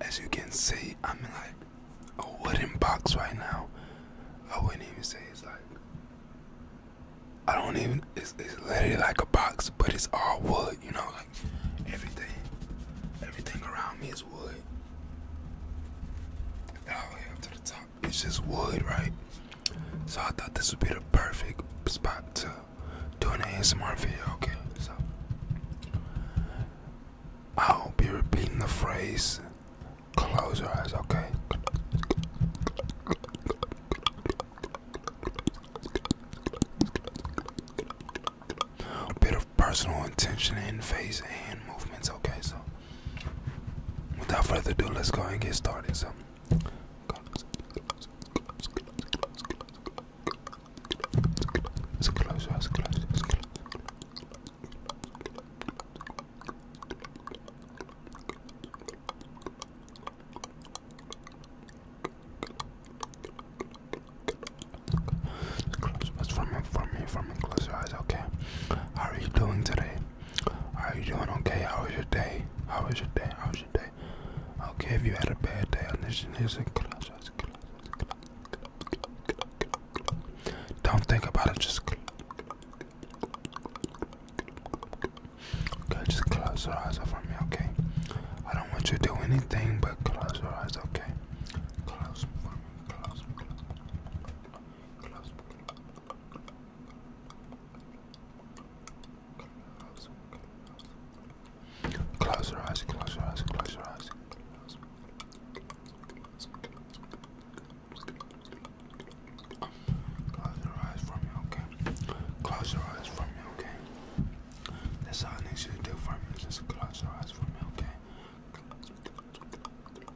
As you can see, I'm like a wooden box right now. I wouldn't even say it's like I don't even it's, it's literally like a box, but it's all wood, you know, like everything everything around me is wood. All the way up to the top it's just wood, right? So I thought this would be the perfect spot to do an ASMR video, okay? So I'll be repeating the phrase close your eyes, okay? bit of personal intention in face and movements, okay? So without further ado, let's go and get started. So Gloves, gloves, gloves, gloves, gloves, gloves, gloves. It's a close, it's a close, it's a close. Close, from me, from me, from me. Close your eyes, okay? How are you doing today? Are you doing okay? How was your day? How was your day? How was your day? Okay, if you had a bad day, listen, listen, collapse, collapse, collapse, collapse, collapse. Don't think about it, just collapse. Okay, just close your eyes up for me, okay? I don't want you to do anything but close your eyes, okay? Close them for me, close them, close them, close them, close them, close them, Close your eyes, close your eyes, close your eyes. Close your eyes for me, okay? Close your eyes for me, okay? That's all I need you to do for me. Just close your eyes for me, okay? Close, close, close,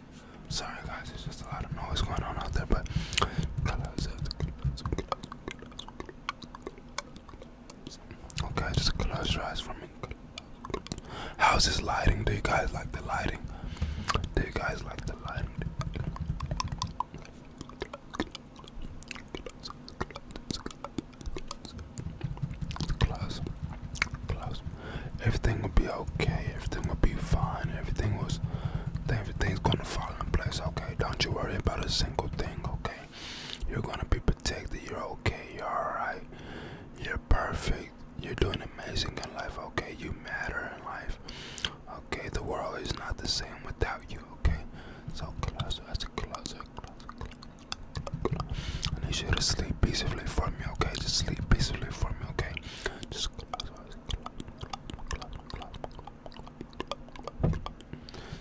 Sorry guys, it's just a lot of noise going on out there, but okay, just close your eyes for me. How's this lighting? Do you guys like the lighting? Do you guys like the lighting? Close, close, everything will be okay. Everything will be fine. Everything was, everything's gonna fall in place. Okay, don't you worry about a single thing. Okay, you're gonna be protected. You're okay. You're alright. You're perfect. You're doing amazing in life. Okay, you matter in life. Okay, the world is not the same without you. Okay, so closer, that's closer, closer, closer. I need you to sleep peacefully for me. Okay, just sleep peacefully for me. Okay. Just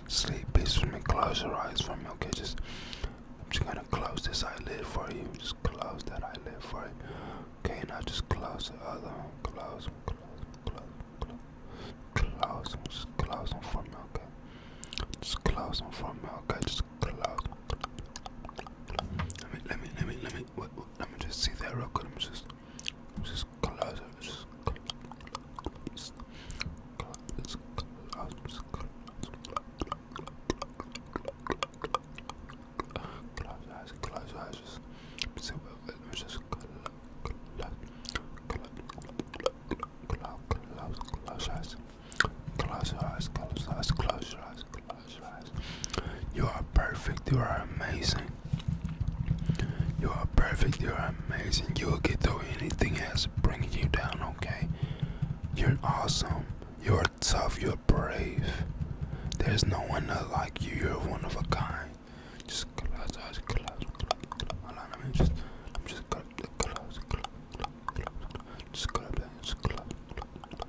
Sleep peacefully. Close your eyes for me. Okay, just I'm just gonna close this eyelid for you. Just close that eyelid for you. Okay, now just close the other one. Close close, close close close Just close them for me. Okay, just close them for me. Okay, just close let me, let me, let me, let me, wait, wait, let me just see that real quick. Let me just, let me just close it. Just close, close, close, close, close eyes, close eyes. Just see what. Let me just close, close, close, close, close eyes. Close your eyes, close your eyes, close your eyes, close your eyes. You are perfect, you are amazing. You are perfect, you are amazing. You will get through anything that's bringing you down, okay? You're awesome, you are tough, you're brave. There's no one not like you, you're one of a kind. Just close your eyes, close, close, close. Hold on, I mean, just, I'm just gonna close, close, close, close. Just close, just close, close, close.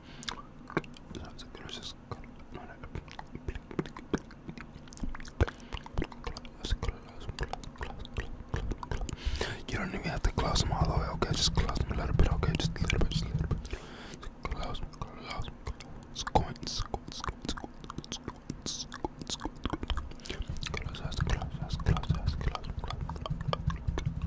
That's a delicious color. You don't even have to close them all the way, okay? Just close them a little bit, okay? Just a little bit, just a little bit. Just close them, close them, squint, squint, squint, squint, squint, squint, squint. Close eyes, close eyes, close eyes, close eyes, close eyes.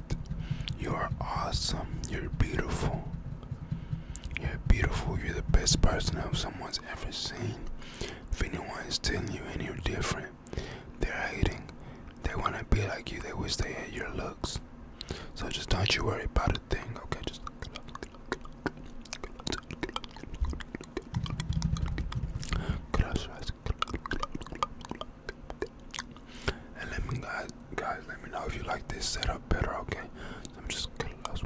You're awesome. You're beautiful. You're beautiful. You're the best person of someone's ever seen. If anyone is telling you anything different, they're hating. They want to be like you. They wish they had your looks. So just don't you worry about a thing, okay? Just close your eyes. And let me guys, guys, let me know if you like this setup better. Okay, I'm just close, close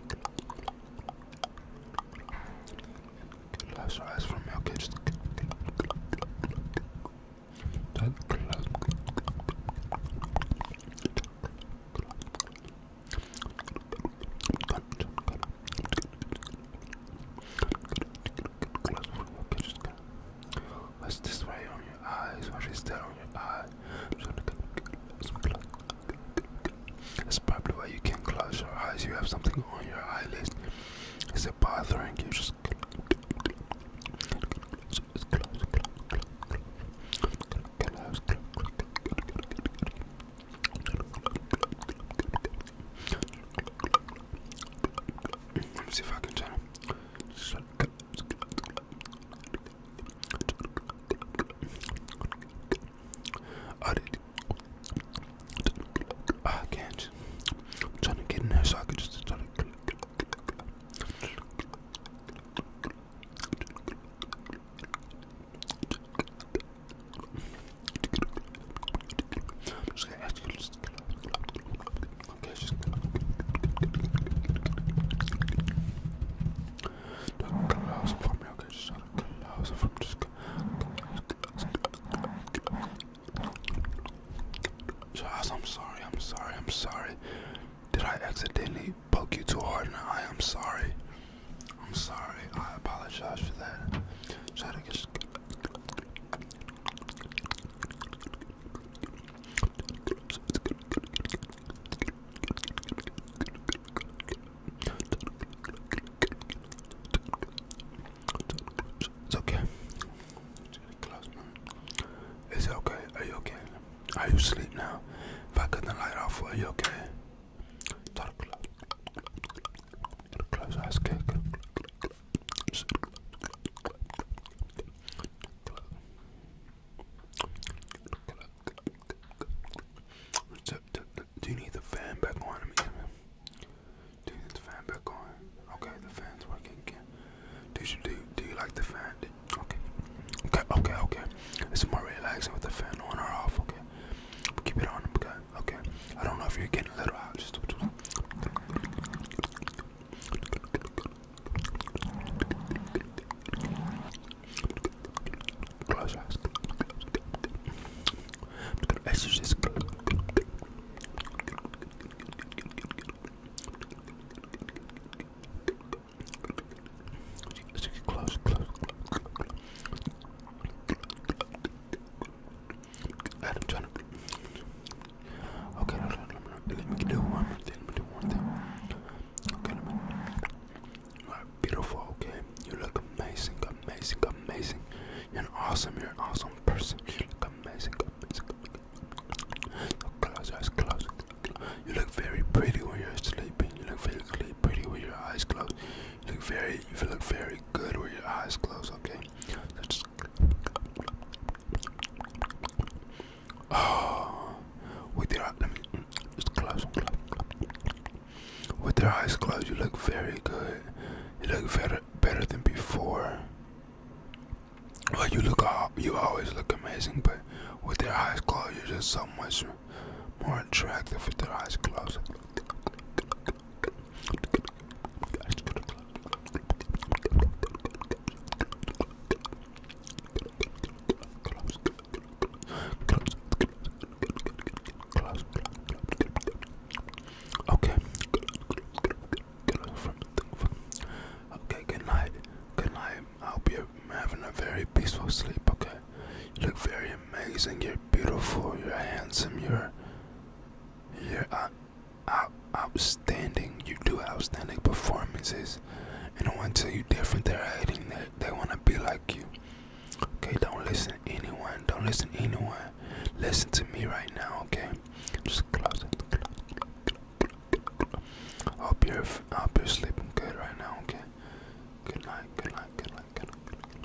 your eyes from me. Okay, just close. What's this way on your eyes? What is that on your eye? That's probably why you can't close your eyes. You have something on your eyelids. It's it bothering you? Just let me see if I can turn. I did. Ah, I can't. I'm trying to get in there so I can just try to. I'm just gonna ask you to Josh, I'm sorry. I'm sorry. I'm sorry. Did I accidentally poke you too hard in I'm sorry. I'm sorry. I apologize for that. It's okay. It's okay. Are you okay? Are you asleep now? If I cut the light off, are you okay? Close eyes, okay. Do you need the fan back on? Do you need the fan back on? Okay, the fan's working again. Did you do? Do you like the fan? okay, okay, okay, okay. It's more relaxing with the fan on or off. Okay, keep it on. Okay, okay. I don't know if you're getting a little out. Just. Close eyes. Exorcist. Close, close, close, close. Adam trying to. Okay, no, no, no, no. let me do one more thing. Let me do one thing. Okay, let beautiful. Okay, you look amazing, amazing, amazing. You're awesome, you're an awesome person. You look amazing, amazing. Close your eyes, close. You look very pretty when you're sleeping. You look very pretty with your eyes closed. You look very, you look very good with your eyes closed. Okay. Oh, with your let just close, With your eyes closed, you look very good. You look better, better than before. Well, you look all you always look amazing, but with your eyes closed, you're just so much more attractive with your eyes closed. Okay. Okay, good night. Good night. I hope you're having a very peaceful sleep, okay? You look very amazing. You're beautiful. You're handsome. You're. You're out, outstanding. You do outstanding performances, and I want to tell you different. They're hating. They they want to be like you. Okay, don't listen to anyone. Don't listen to anyone. Listen to me right now. Okay, just close it. I hope you're, I hope you're sleeping good right now. Okay. Good night. Good night. Good night. Good night. Good night.